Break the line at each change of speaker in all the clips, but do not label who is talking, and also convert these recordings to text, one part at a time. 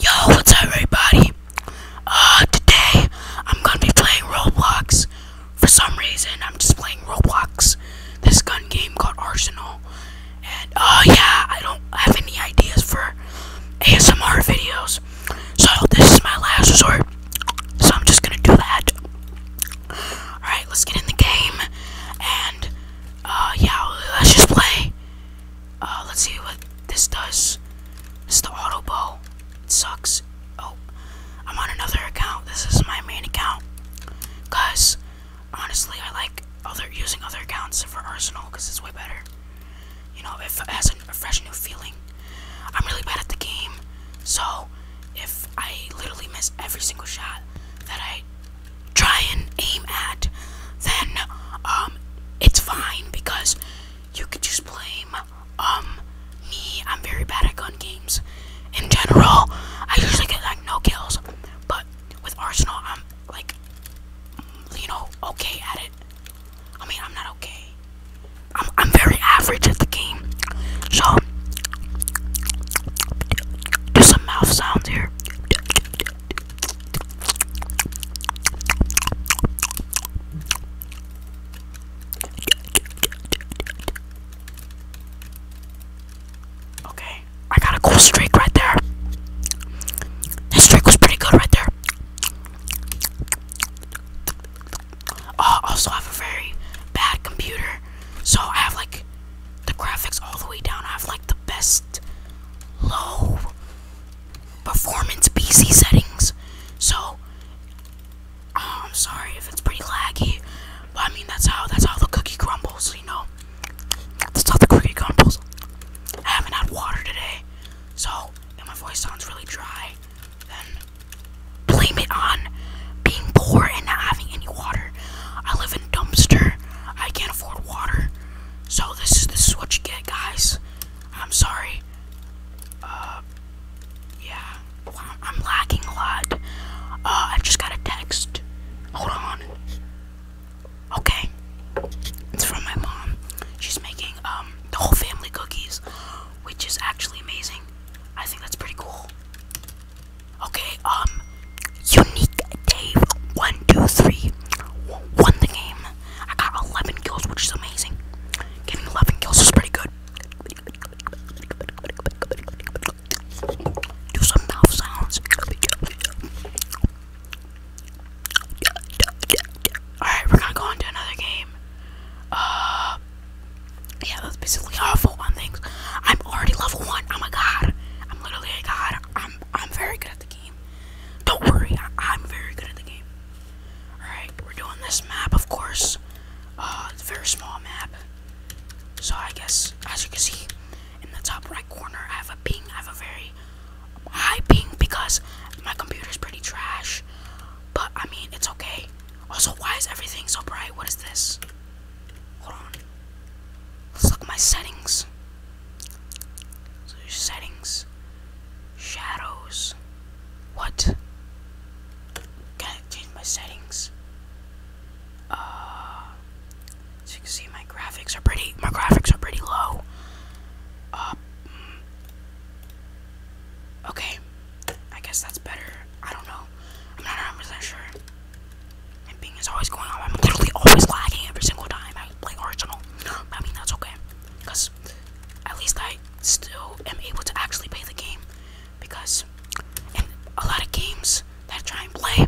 Yo, what's up everybody? Uh, today I'm gonna be playing Roblox. For some reason, I'm just playing Roblox. This gun game called Arsenal. And, oh yeah, I don't have any ideas for ASMR videos. So, this is my last resort. So, I'm just gonna do that. Alright, let's get in the game. And, uh, yeah, let's just play. Uh, let's see what this does. This the auto bow. It sucks. Oh, I'm on another account. This is my main account. Guys, honestly, I like other using other accounts for Arsenal because it's way better. You know, it has a fresh new feeling. I'm really bad at the game, so if I literally miss every single shot that I try and aim at, then um, it's fine because you could just blame um me. I'm very bad at gun games. In general, I usually get like no kills, but with Arsenal, I'm like, you know, okay at it. I mean, I'm not okay. I'm I'm very average at the game. So do some mouth sounds here. Okay, I got a cool streak right there. This streak was pretty good right there. Uh, I also have a very bad computer, so I have like the graphics all the way down. I have like the best low performance PC settings. So I'm um, sorry if it's pretty laggy, but I mean that's how that's how the cookie crumbles, you know. That's how the cookie crumbles. I haven't had water today, so my voice sounds really dry, then blame it on being poor and not having any water. I live in dumpster I can't afford water. So this is this is what you get, guys. I'm sorry. Uh, yeah. I'm lacking a lot. Uh, I just got a text. Hold on. Okay. It's from my mom. She's making um the whole family cookies, which is actually amazing. I think that's pretty cool. Okay, um, Unique Dave, one, two, three, won the game. I got 11 kills, which is amazing. Getting 11 kills is pretty good. Do some mouth sounds. Alright, we're gonna go on to another game. Uh, yeah, that's basically awful on things. I'm already level one. Oh my god. I'm literally a god. I'm I'm very good at the game. Don't worry, I, am very good at the game. All right, we're doing this map, of course. Uh, it's a very small map. So I guess, as you can see, in the top right corner, I have a ping. I have a very high ping because my computer's pretty trash. But I mean, it's okay. Also, why is everything so bright? What is this? Hold on. Let's look at my settings. settings. Shadows. What? Can I change my settings? Uh so you can see my graphics are pretty my graphics are pretty low. Uh, mm. okay, I guess that's better. I don't know. I'm not 100% sure. My ping is always going off. I'm literally always lagging every single time I play original. I mean, that's okay. Because at least I still am able to actually play the game. Because a lot of games that I try and play,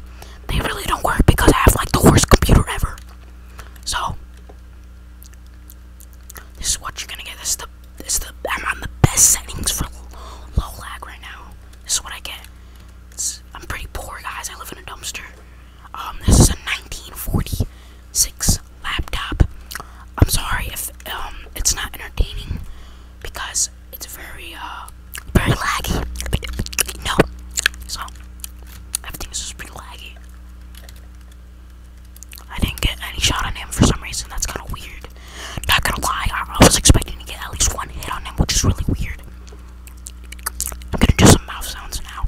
they really don't work because I have like the worst computer ever. So, this is what you're gonna get. This is it's the I'm on the best settings for low lag right now. This is what I get. I'm pretty poor, guys. I live in a dumpster. Um, this is a 1946 laptop. I'm sorry if um it's not entertaining because it's very uh very laggy. No, so everything's just pretty laggy. I didn't get any shot on him for some reason. That's kind of weird. Not gonna lie, I, was expecting to get at least one hit on him, which is really weird. I'm gonna do some mouth sounds now.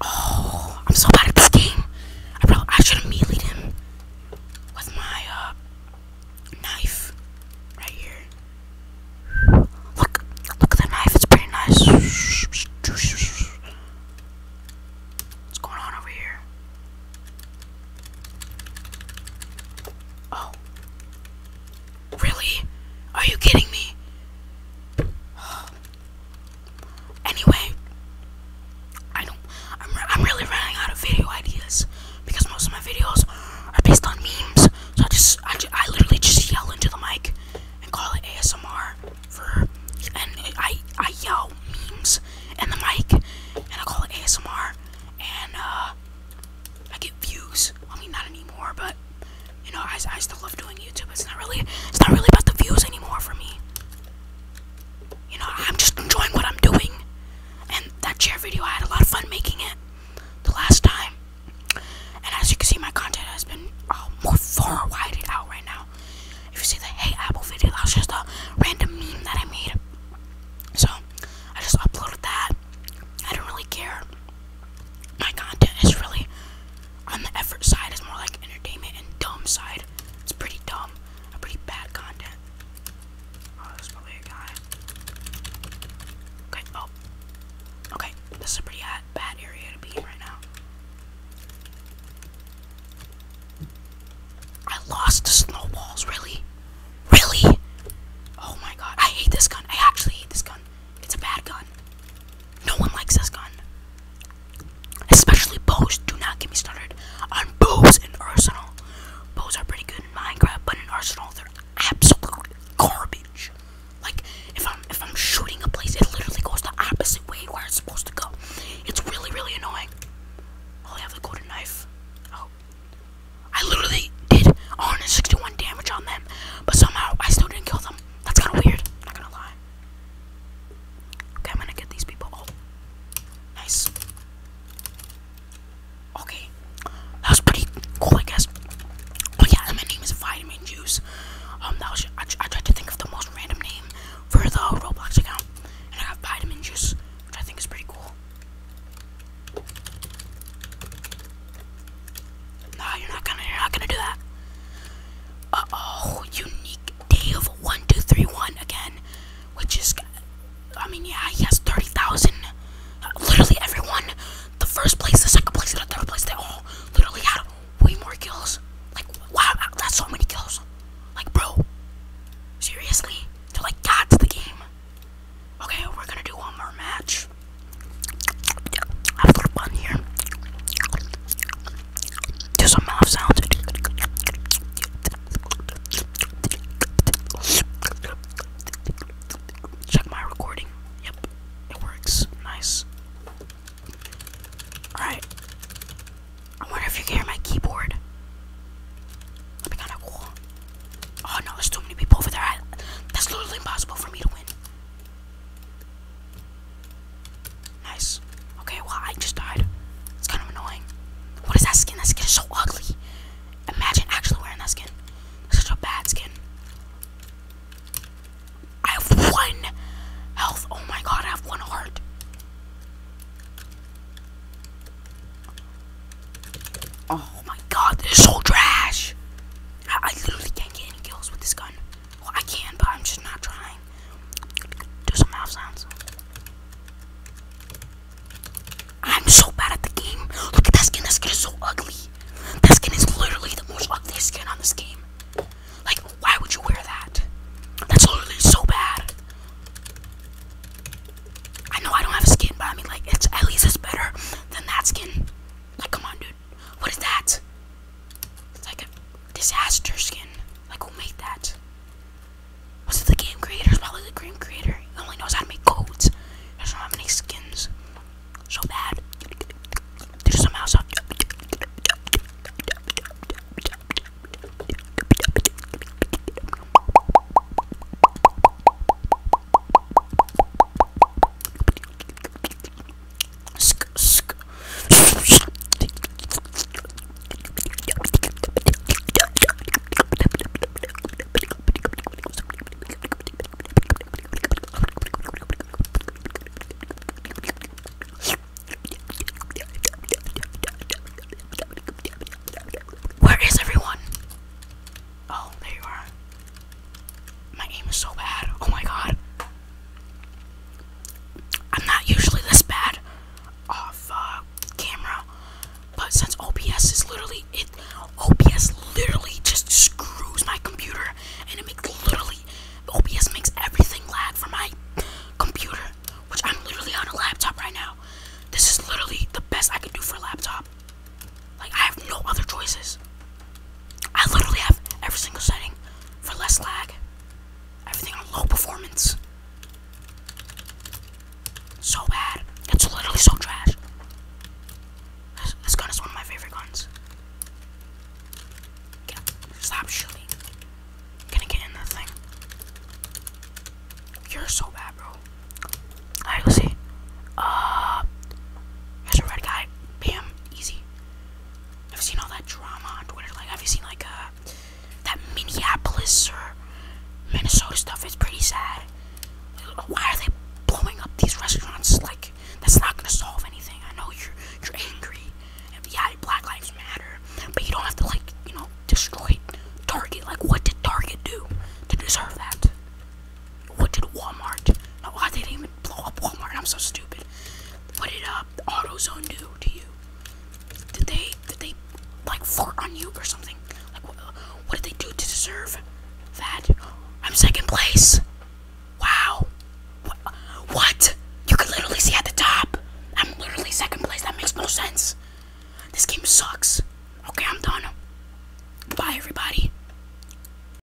Oh, I'm so bad at this game. I probably I should have melee him with my uh knife right here. Look, look at the knife, it's pretty nice. What's going on over here? Oh. Really? Are you kidding me? Anyway, I don't I'm I'm really running out of video ideas because most of my videos are based on memes. So I just, I, literally just yell into the mic and call it ASMR for, and I, I yell memes and the mic and I call it ASMR and uh, I get views. I mean, not anymore, but you know, I, I still love doing YouTube. It's not really, it's not really about the views anymore for me. You know, I'm just enjoying what I'm doing. And that chair video, I had a lot of fun making it the last time. And as you can see, my content has been uh, more far widened out right now. If you see the Hey Apple video, that was just a random meme that I made. So, I just uploaded that. I don't really care. My content is really on the effort side, it's more like entertainment and dumb side. It's pretty dumb, a pretty bad content. Oh, there's probably a guy. Okay, oh. Okay, this is a pretty bad area to be in right now. I lost the snowballs, really? Really? Oh my god, I hate this gun. I actually hate this gun. It's a bad gun. No one likes this gun. Especially bows. Do not get me started on bows and Arsenal. Bows are pretty good. Minecraft, but in Arsenal they're absolute garbage. Like if I'm if I'm shooting a place, it literally goes the opposite way where it's supposed to go. It's really really annoying. Oh, I have the golden knife. Oh, I literally did 161 damage on them, but somehow I still didn't kill them. That's kind of weird. not gonna lie. Okay, I'm gonna get these people. Oh. nice. Okay, that was pretty cool, I guess. Oh yeah, my name is Vitamin Juice. Um, that was I, tried to think of the most random name for the Roblox account, and I got Vitamin Juice, which I think is pretty cool. No, you're not gonna, you're not gonna do that. Uh oh, unique day of one, two, three, one again which is, I mean, yeah, he has 30,000. literally everyone, the first place, the second place, the third place, they all literally had way more kills. Like, wow, that's so many kills. Like, bro, seriously? they like gods the game. Okay, we're gonna do one more match. Have a fun here. Do some mouth sounds. Check my recording. Yep, it works. Nice. Alright. I wonder if you can hear my keyboard. That'd be kinda cool. Oh no, there's too many people over there. that's literally impossible for me to win. Nice. Okay, well, I just died. It's kind of annoying. What is that skin? That skin is so ugly. Imagine actually wearing that skin. It's such a bad skin. I have one health. Oh my god, I have one heart. Oh my god, this is so trash. I literally can't get any kills with this gun. Well, I can, but I'm just not trying. Do some mouth sounds. I'm so bad at the game. Look at that skin. That skin is so ugly. That skin is literally the most ugly skin on this game. Like, why would you wear that? That's literally so bad. I know I don't have a skin, but I mean, like, it's at least it's better than that skin. Like, come on, dude. What is that? It's like a disaster skin. Like, who made that? Was it the game creator? probably the game creator. He only knows how to make codes. He doesn't have any skins. So bad. There's some house where is everyone? Oh, there you are. My aim is so bad. Oh my god. I'm not usually this bad off uh, camera, but since OBS is literally it, OBS literally just screws my computer, and it makes literally OBS makes everything lag for my computer, which I'm literally on a laptop right now. This is literally the best I can do for a laptop. Like I have no other choices. I literally have every single setting for less lag. Everything on low performance. So bad. It's literally so trash. This, gun is one of my favorite guns. Stop shooting. Can I get in that thing? You're so bad, bro. Alright, let's uh, here's a red guy. Bam. Easy. I've seen all that drama on Twitter. Like, have you seen like uh, that Minneapolis or Minnesota stuff? It's pretty sad. Why are they blowing up these restaurants? Like, that's not gonna solve anything. I know you're you're angry. And yeah, Black Lives Matter, but you don't have to like you know destroy Target. Like, what did Target do to deserve that? What did Walmart? No, why they didn't even blow up Walmart? I'm so stupid. What did uh, AutoZone do to you? Did they did they like fart on you or something? Like what, did they do to deserve that? I'm second place. Wow. What? what? You can literally see at the top. I'm literally second place. That makes no sense. This game sucks. Okay, I'm done. Bye, everybody.